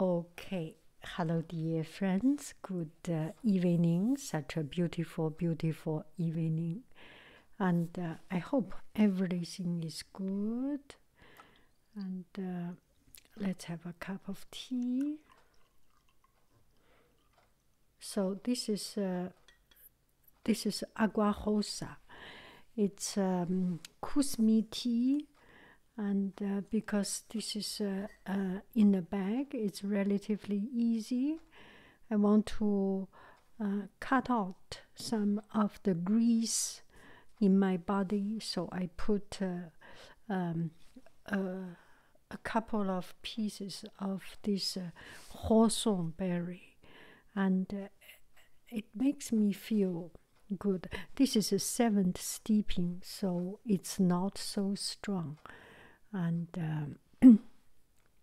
Okay, hello, dear friends. Good uh, evening. Such a beautiful, beautiful evening. And uh, I hope everything is good. And uh, let's have a cup of tea. So this is this is agua rosa. It's um, kusmi tea and uh, because this is uh, uh, in a bag, it's relatively easy. I want to uh, cut out some of the grease in my body, so I put um, a couple of pieces of this uh, horseberry, and it makes me feel Good. This is a seventh steeping, so it's not so strong, and um,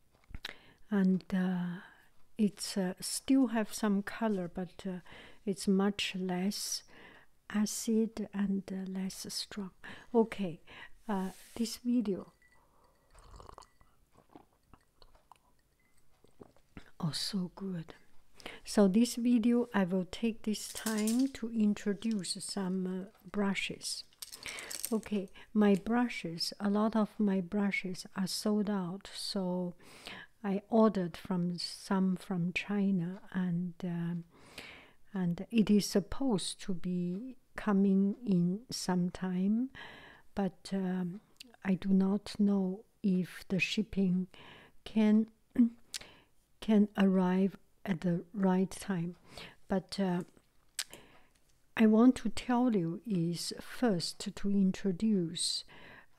and uh, it's uh, still have some color, but uh, it's much less acid and less strong. Okay, this video Oh, so good. So, this video I will take this time to introduce some uh, brushes. Okay, my brushes, a lot of my brushes are sold out, so I ordered from some from China and uh, and it is supposed to be coming in some time, but um, I do not know if the shipping can can arrive at the right time. But uh, I want to tell you is first to introduce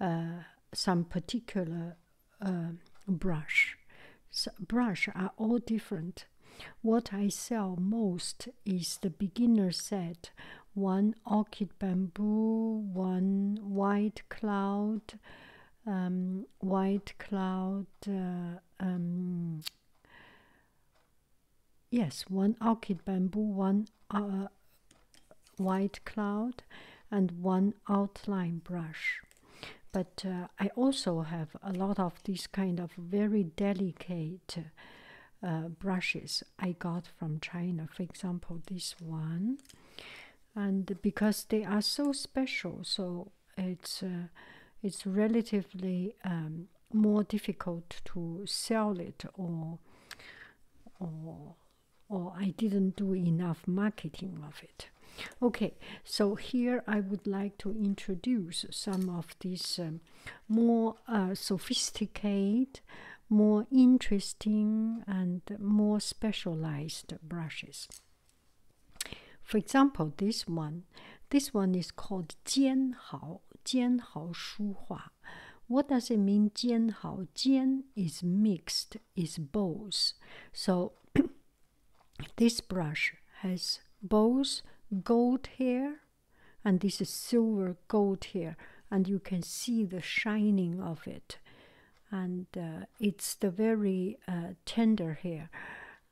uh, some particular uh, brush. So brush are all different. What I sell most is the beginner set. One orchid bamboo, one white cloud, um, white cloud. Uh, um, yes, one orchid bamboo, one uh, white cloud, and one outline brush. But uh, I also have a lot of these kind of very delicate brushes I got from China. For example, this one and because they are so special, so it's uh, it's relatively um, more difficult to sell it, or or or I didn't do enough marketing of it. Okay, so here I would like to introduce some of these um, more uh, sophisticated more interesting and more specialized brushes. For example, this one, this one is called Hao Hao Shu 尖毫,尖毫书画. What does it mean Hao 尖 is mixed, is both. So this brush has both gold hair and this is silver gold hair and you can see the shining of it and uh, it's the very uh, tender hair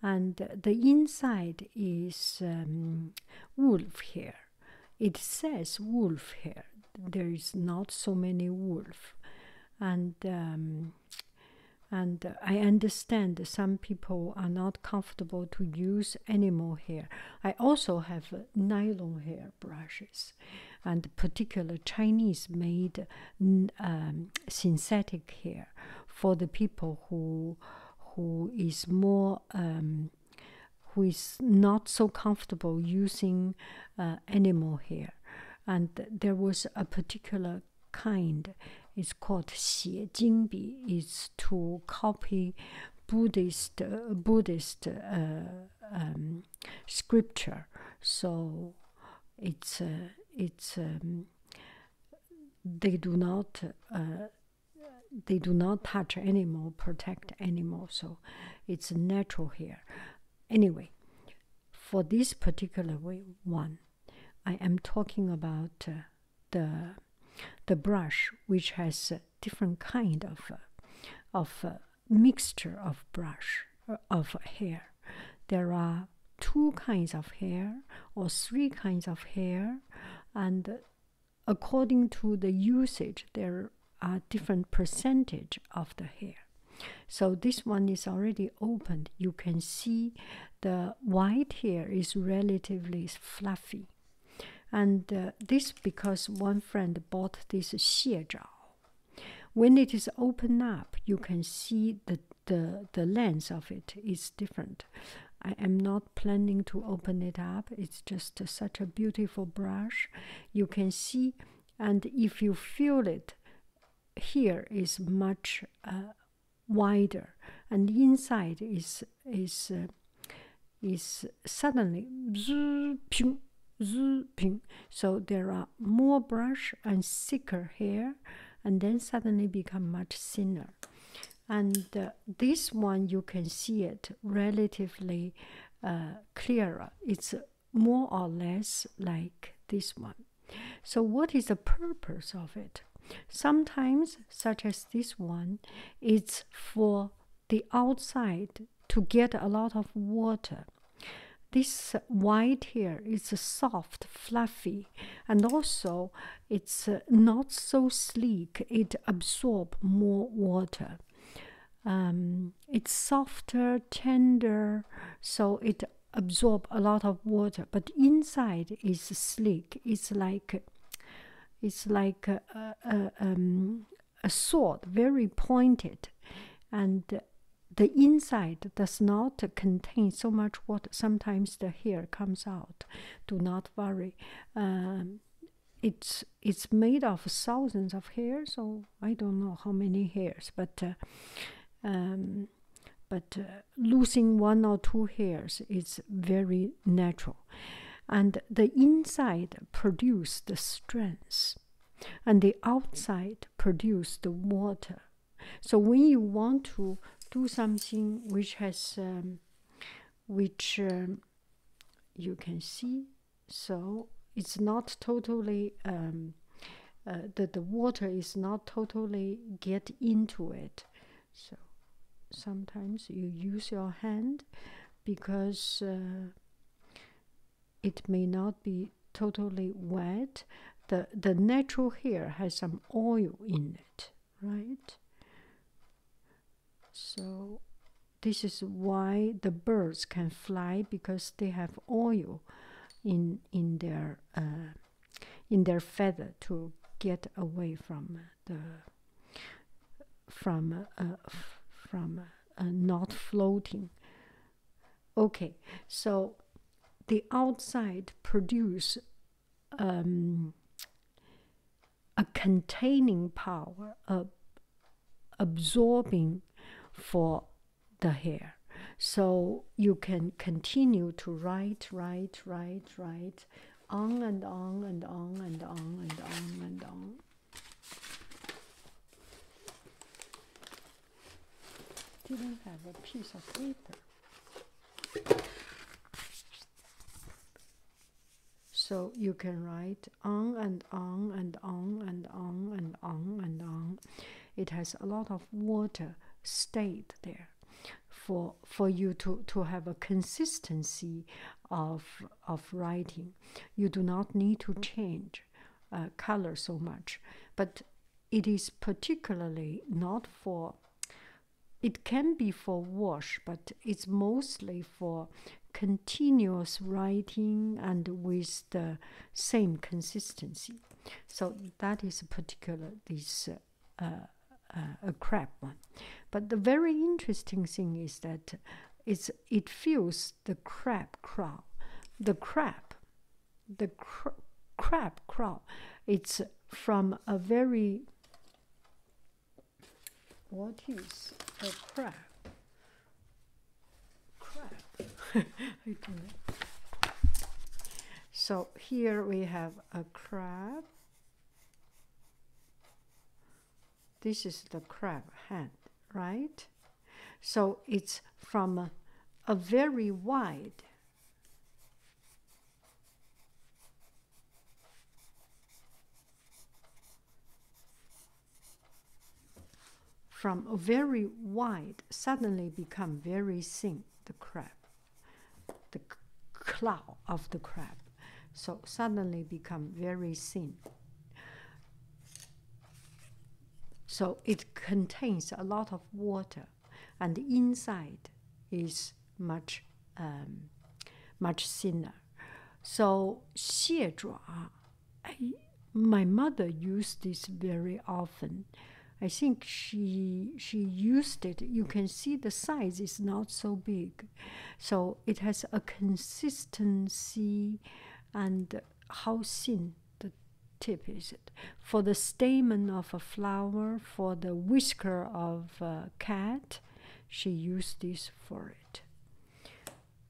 and the inside is um, wolf hair it says wolf hair there is not so many wolf and um, and i understand some people are not comfortable to use animal hair i also have nylon hair brushes, and particular Chinese made um, synthetic hair for the people who who is more um, who is not so comfortable using uh, animal hair, and there was a particular kind. It's called xie jingbi. It's to copy Buddhist uh, Buddhist uh, um, scripture. So it's uh, it's um, they do not uh, they do not touch animal, protect animal. So it's natural here. Anyway, for this particular one, I am talking about uh, the the brush which has different kind of of mixture of brush uh, of hair. There are two kinds of hair or three kinds of hair, and according to the usage, there are different percentage of the hair. So this one is already opened. You can see the white hair is relatively fluffy. And uh, this because one friend bought this xie zhao when it is opened up, you can see the the the lens of it is different. I am not planning to open it up. It's just such a beautiful brush. You can see, and if you feel it, here is much uh, wider, and inside is is uh, is suddenly Zuping. So there are more brush and thicker hair, and then suddenly become much thinner. And uh, this one you can see it relatively uh, clearer. It's more or less like this one. So what is the purpose of it? Sometimes, such as this one, it's for the outside to get a lot of water. This white here is soft, fluffy, and also it's uh, not so sleek. It absorbs more water. Um, it's softer, tender, so it absorbs a lot of water. But inside is sleek. It's like it's like a um, sword, very pointed, and the inside does not contain so much What Sometimes the hair comes out. Do not worry. Um, it's it's made of thousands of hairs, so I don't know how many hairs, but uh, um, but uh, losing one or two hairs is very natural, and the inside produces the strength and the outside produce the water. So when you want to do something which has, um, which um, you can see, so it's not totally um, uh, the the water is not totally get into it. So sometimes you use your hand because. Uh, it may not be totally wet. The, the natural hair has some oil in it, right? So this is why the birds can fly because they have oil in in their uh, in their feather to get away from the from uh, from uh, not floating Okay, so the outside produce um, a containing power, a absorbing for the hair. So you can continue to write, write, write, write, on and on and on and on and on and on didn't have a piece of paper. So you can write on and on and on and on and on and on. It has a lot of water stayed there for for you to, to have a consistency of of writing. You do not need to change uh, color so much, but it is particularly not for. It can be for wash, but it's mostly for continuous writing and with the same consistency. So that is particular this uh, uh, uh a crab one. But the very interesting thing is that it's, it feels the crab crowd. The crab the crab crop it's from a very what is a crab crab so here we have a crab this is the crab hand right so it's from a, a very wide from a very wide suddenly become very thin the crab the claw of the crab so suddenly become very thin so it contains a lot of water, and the inside is much um, much thinner. So xie zhua, my mother used this very often. I think she she used it. You can see the size is not so big, so it has a consistency and how thin the tip is it for the stamen of a flower for the whisker of a cat she used this for it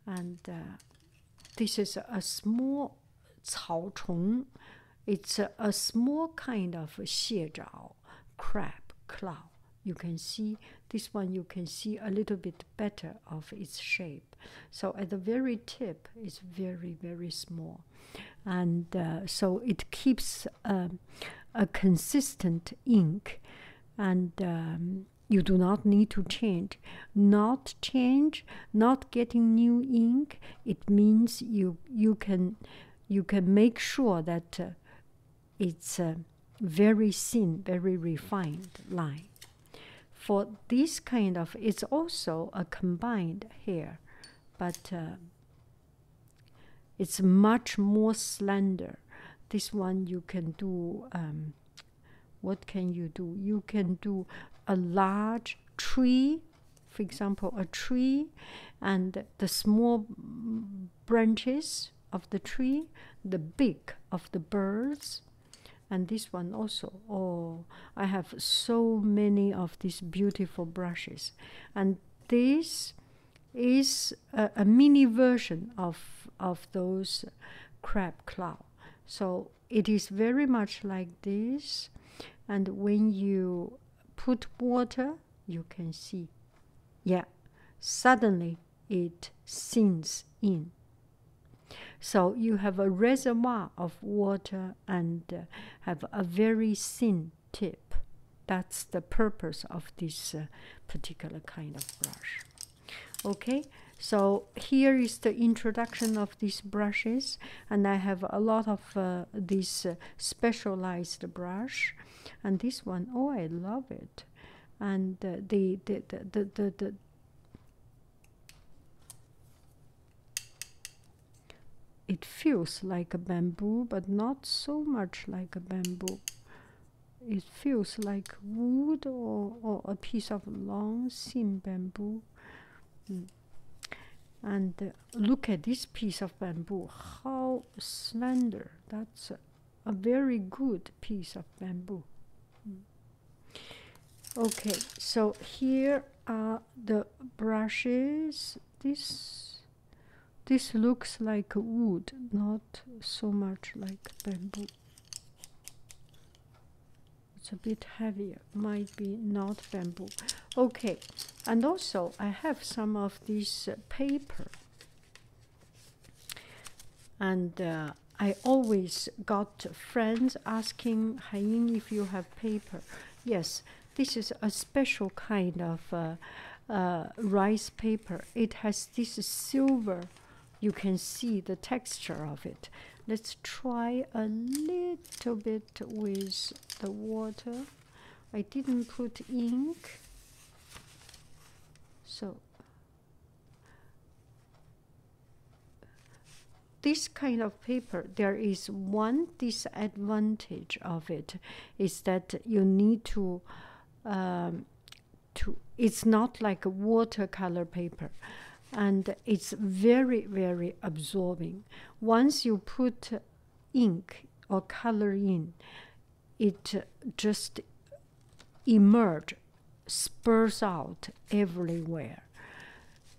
and uh, this is a small cao it's a, small kind of xie zhao crab cloud you can see this one you can see a little bit better of its shape so at the very tip, it's very, very small. And uh, so it keeps um, a consistent ink. And um, you do not need to change. Not change, not getting new ink, it means you, you, can, you can make sure that uh, it's a very thin, very refined line for this kind of it's also a combined hair but uh, it's much more slender this one you can do um, what can you do you can do a large tree for example a tree and the small branches of the tree the beak of the birds and this one also oh i have so many of these beautiful brushes and this is a, mini version of of those crab claw so it is very much like this and when you put water you can see yeah suddenly it sinks in so you have a reservoir of water and uh, have a very thin tip. That's the purpose of this uh, particular kind of brush. Okay, so here is the introduction of these brushes, and I have a lot of uh, these uh, specialized brush, and this one, oh, I love it, and the, the the the the it feels like a bamboo, but not so much like a bamboo. It feels like wood or, or a piece of long thin bamboo. Hmm. And uh, look at this piece of bamboo, how slender. That's a, very good piece of bamboo. Hmm okay so here are the brushes this this looks like wood not so much like bamboo it's a bit heavier might be not bamboo okay and also i have some of this uh, paper and uh, i always got friends asking Haiying if you have paper. Yes, this is a special kind of uh, uh, rice paper. It has this silver. You can see the texture of it. Let's try a little bit with the water. I didn't put ink. So this kind of paper, there is one disadvantage of it, is that you need to, um, to. It's not like a watercolor paper, and it's very very absorbing. Once you put ink or color in, it just emerge, spurs out everywhere.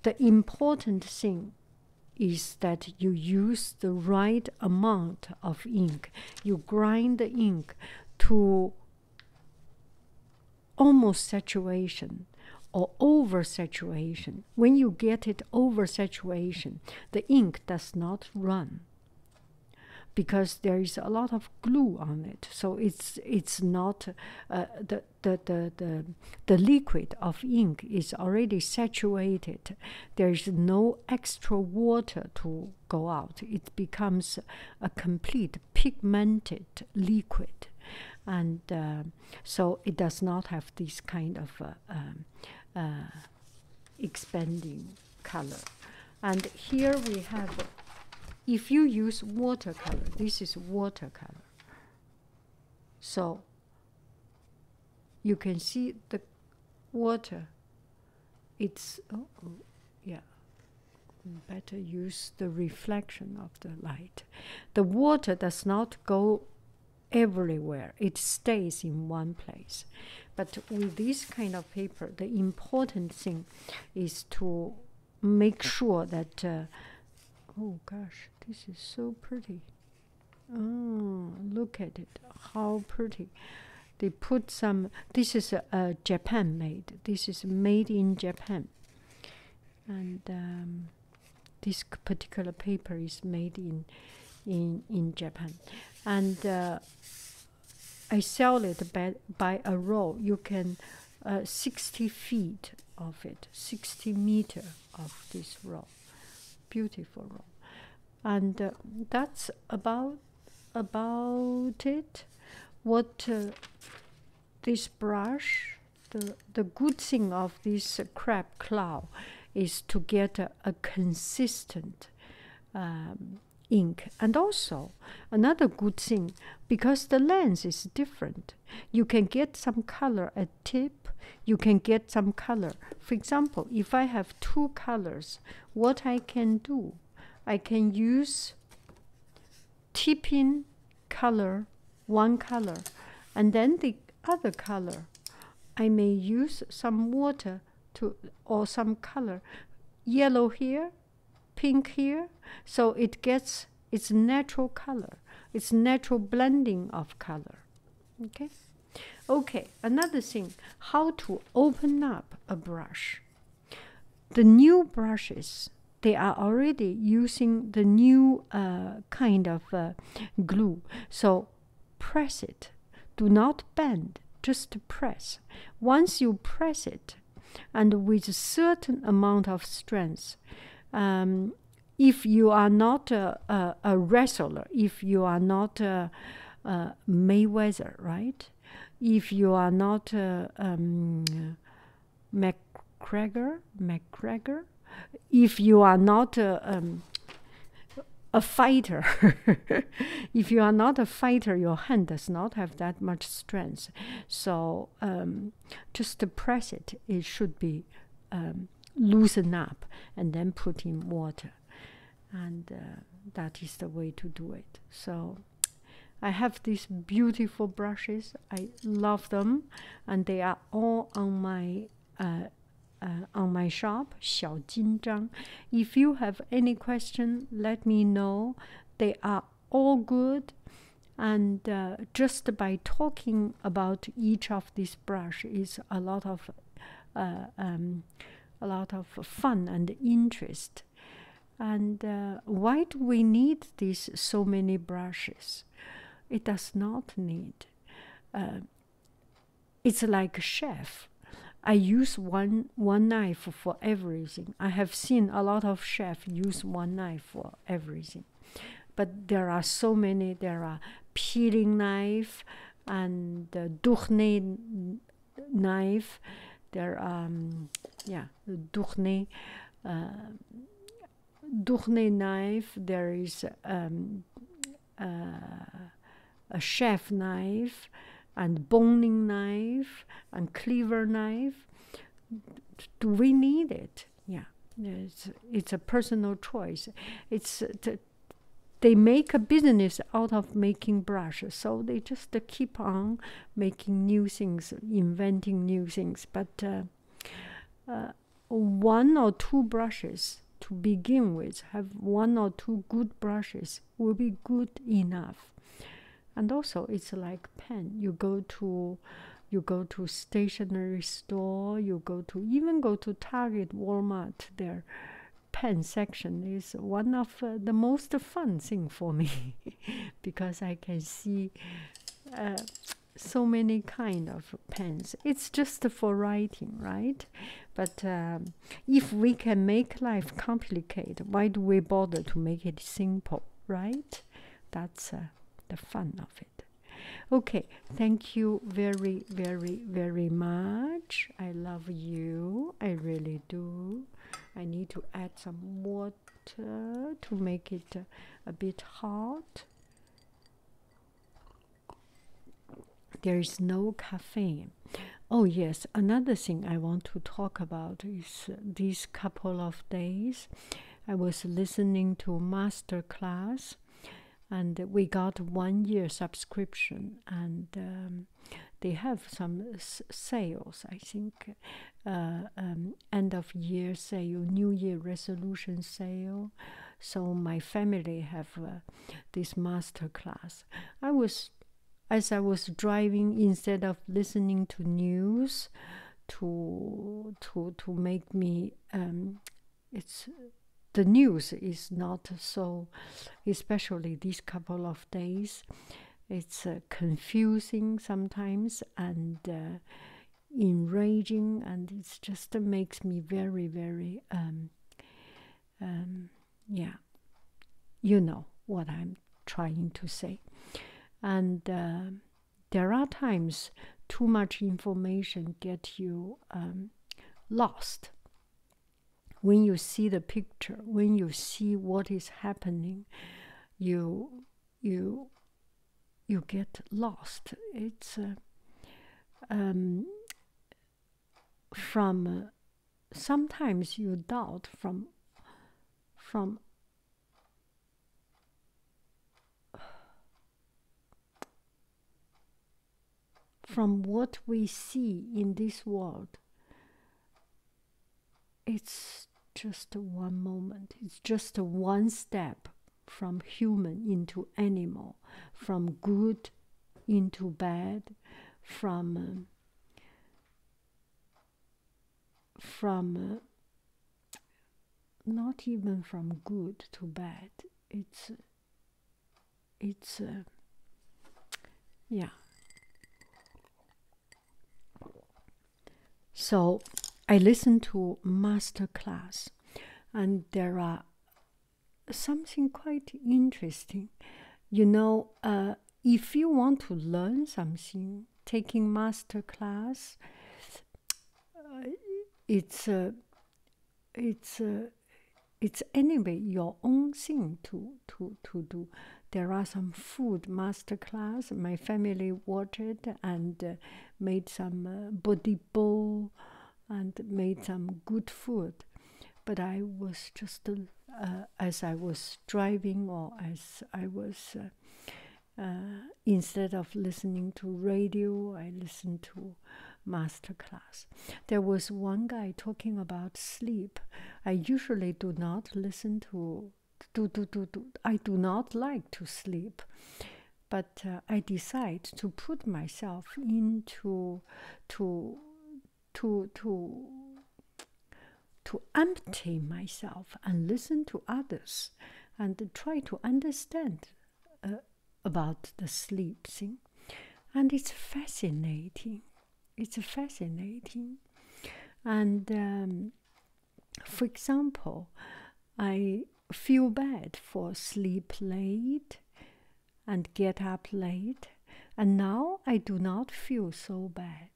The important thing is that you use the right amount of ink. You grind the ink to almost saturation or oversaturation. When you get it oversaturation, the ink does not run because there is a lot of glue on it. So it's it's not uh, the the, the, the, the liquid of ink is already saturated. There is no extra water to go out. It becomes a complete pigmented liquid. And uh, so it does not have this kind of uh, um, uh, expanding color. And here we have, if you use watercolor, this is watercolor. So you can see the water. It's, oh, oh, yeah, better use the reflection of the light. The water does not go everywhere, it stays in one place. But with this kind of paper, the important thing is to make sure that uh, oh gosh this is so pretty oh look at it how pretty they put some this is a, japan made this is made in japan and um, this particular paper is made in in in japan and uh, i sell it by, by a roll you can uh, 60 feet of it, 60 meter of this rock, beautiful rock, and uh, that's about about it. What uh, this brush, the the good thing of this crab claw, is to get a, consistent. Um, ink and also another good thing because the lens is different you can get some color at tip. You can get some color. For example, if I have two colors, what I can do, I can use tip in color, one color, and then the other color. I may use some water to or some color. Yellow here, pink here, so it gets it's natural color. It's natural blending of color. Okay? Okay, another thing, how to open up a brush. The new brushes, they are already using the new uh, kind of uh, glue. So press it. Do not bend, just press. Once you press it, and with a certain amount of strength, um, if you are not a, wrestler, if you are not a, Mayweather, right? If you are not a, um, McGregor, McGregor, if you are not a, um, a fighter, if you are not a fighter, your hand does not have that much strength. So um, just to press it. It should be um, loosened up and then put in water. And uh, that is the way to do it. So I have these beautiful brushes. I love them. And they are all on my. Uh, uh, on my shop, Xiao If you have any question, let me know. They are all good and uh, just by talking about each of these brushes is a lot of uh, um, a lot of fun and interest and uh, why do we need these so many brushes it does not need it's like a chef i use one one knife for everything i have seen a lot of chefs use one knife for everything but there are so many there are peeling knife and the duchne knife there um yeah the duchne uh, duchne knife there is um, uh, a chef knife and boning knife and cleaver knife do we need it yeah, it's, it's a personal choice. It's uh, they make a business out of making brushes, so they just uh, keep on making new things, inventing new things. But uh, one or two brushes to begin with, have one or two good brushes, will be good enough. And also, it's like pen. You go to you go to stationery store you go to even go to target walmart their pen section is one of uh, the most fun thing for me because i can see uh, so many kind of pens it's just for writing right but um, if we can make life complicated why do we bother to make it simple right that's uh, the fun of it Okay, thank you very, very, very much. I love you. I really do. I need to add some water to make it a bit hot. There is no caffeine. Oh, yes, another thing I want to talk about is uh, these couple of days. I was listening to a master class and we got one year subscription and um, they have some sales i think uh, um, end of year sale new year resolution sale so my family have uh, this master class i was as i was driving instead of listening to news to to to make me um, it's the news is not so, especially these couple of days. It's uh, confusing sometimes and uh, enraging, and it just uh, makes me very, very, um, um, yeah, you know what I'm trying to say. And there are times too much information get you um, lost when you see the picture when you see what is happening you you you get lost it's uh, um, from uh, sometimes you doubt from from from what we see in this world, it's just one moment, it's just one step from human into animal, from good into bad, from uh, from uh, not even from good to bad it's it's uh, yeah so i listen to master class and there are something quite interesting you know uh, if you want to learn something taking master class uh, it's a, uh, it's a, uh, it's anyway your own thing to to to do. There are some food master class. My family watched and made some uh, body bowl and made some good food. But I was just as I was driving or as I was instead of listening to radio, I listened to masterclass. There was one guy talking about sleep. I usually do not listen to do do do do. I do not like to sleep, but uh, I decide to put myself into to to to to empty myself and listen to others and try to understand uh, about the sleep thing. And it's fascinating. It's fascinating. And um, for example, I feel bad for sleep late and get up late. And now I do not feel so bad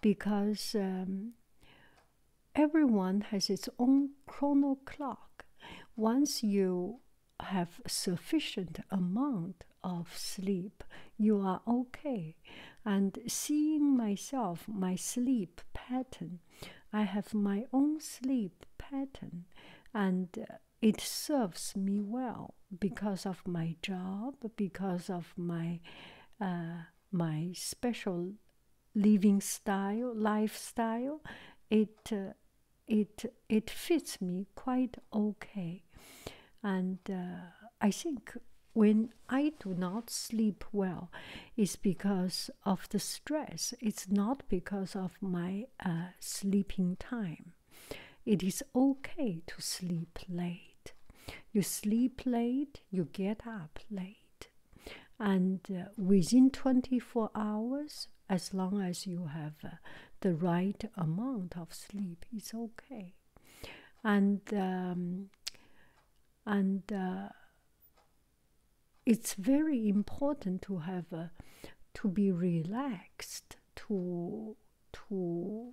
because um, everyone has its own chrono clock. Once you have sufficient amount of sleep, you are okay. And seeing myself, my sleep pattern, I have my own sleep pattern, and uh, it serves me well because of my job, because of my uh, my special living style, lifestyle, it uh, it it fits me quite okay, and uh, I think when I do not sleep well, it's because of the stress. It's not because of my uh, sleeping time. It is okay to sleep late. You sleep late, you get up late and uh, within 24 hours as long as you have uh, the right amount of sleep it's okay and um, and uh, it's very important to have to be relaxed to to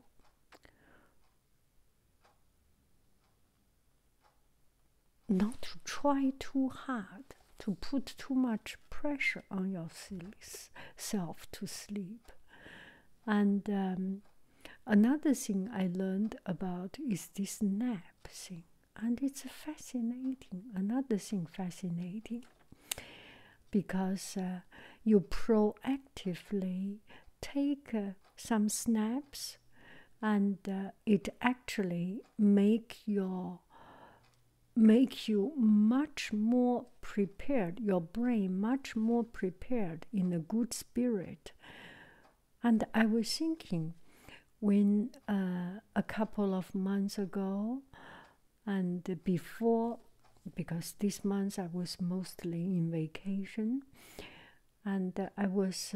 not to try too hard to put too much pressure on yourself to sleep. And um, another thing I learned about is this nap thing, and it's fascinating. Another thing fascinating because uh, you proactively take uh, some snaps and uh, it actually make your make you much more prepared your brain much more prepared in a good spirit and i was thinking when uh, a couple of months ago and before because this month i was mostly in vacation and uh, i was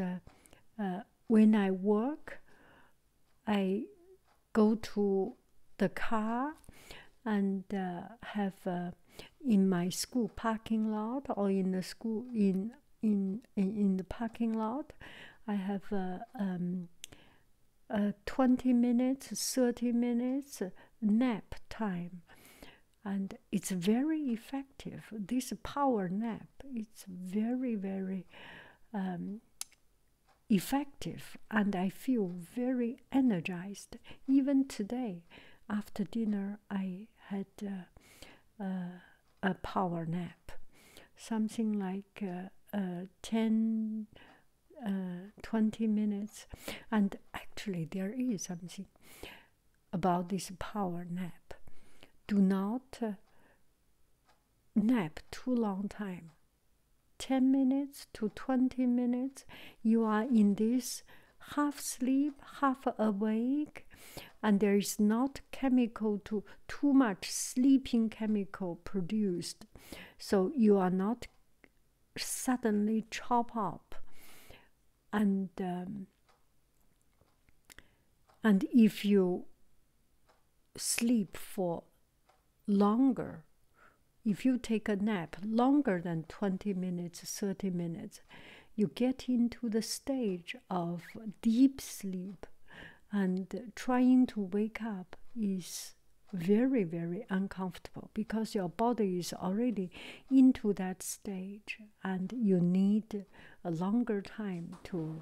uh, when i work I go to the car and uh, have uh, in my school parking lot or in the school in in in the parking lot, I have uh, um, a, twenty minutes, thirty minutes nap time, and it's very effective. This power nap, it's very very um, effective and I feel very energized. Even today, after dinner, I had uh, uh, a power nap, something like uh, uh 10 20 minutes. And actually, there is something about this power nap. Do not nap too long time 10 minutes to 20 minutes you are in this half sleep half awake and there is not chemical to too much sleeping chemical produced so you are not suddenly chop up and um, and if you sleep for longer. If you take a nap longer than 20 minutes, 30 minutes, you get into the stage of deep sleep, and trying to wake up is very, very uncomfortable because your body is already into that stage, and you need a longer time to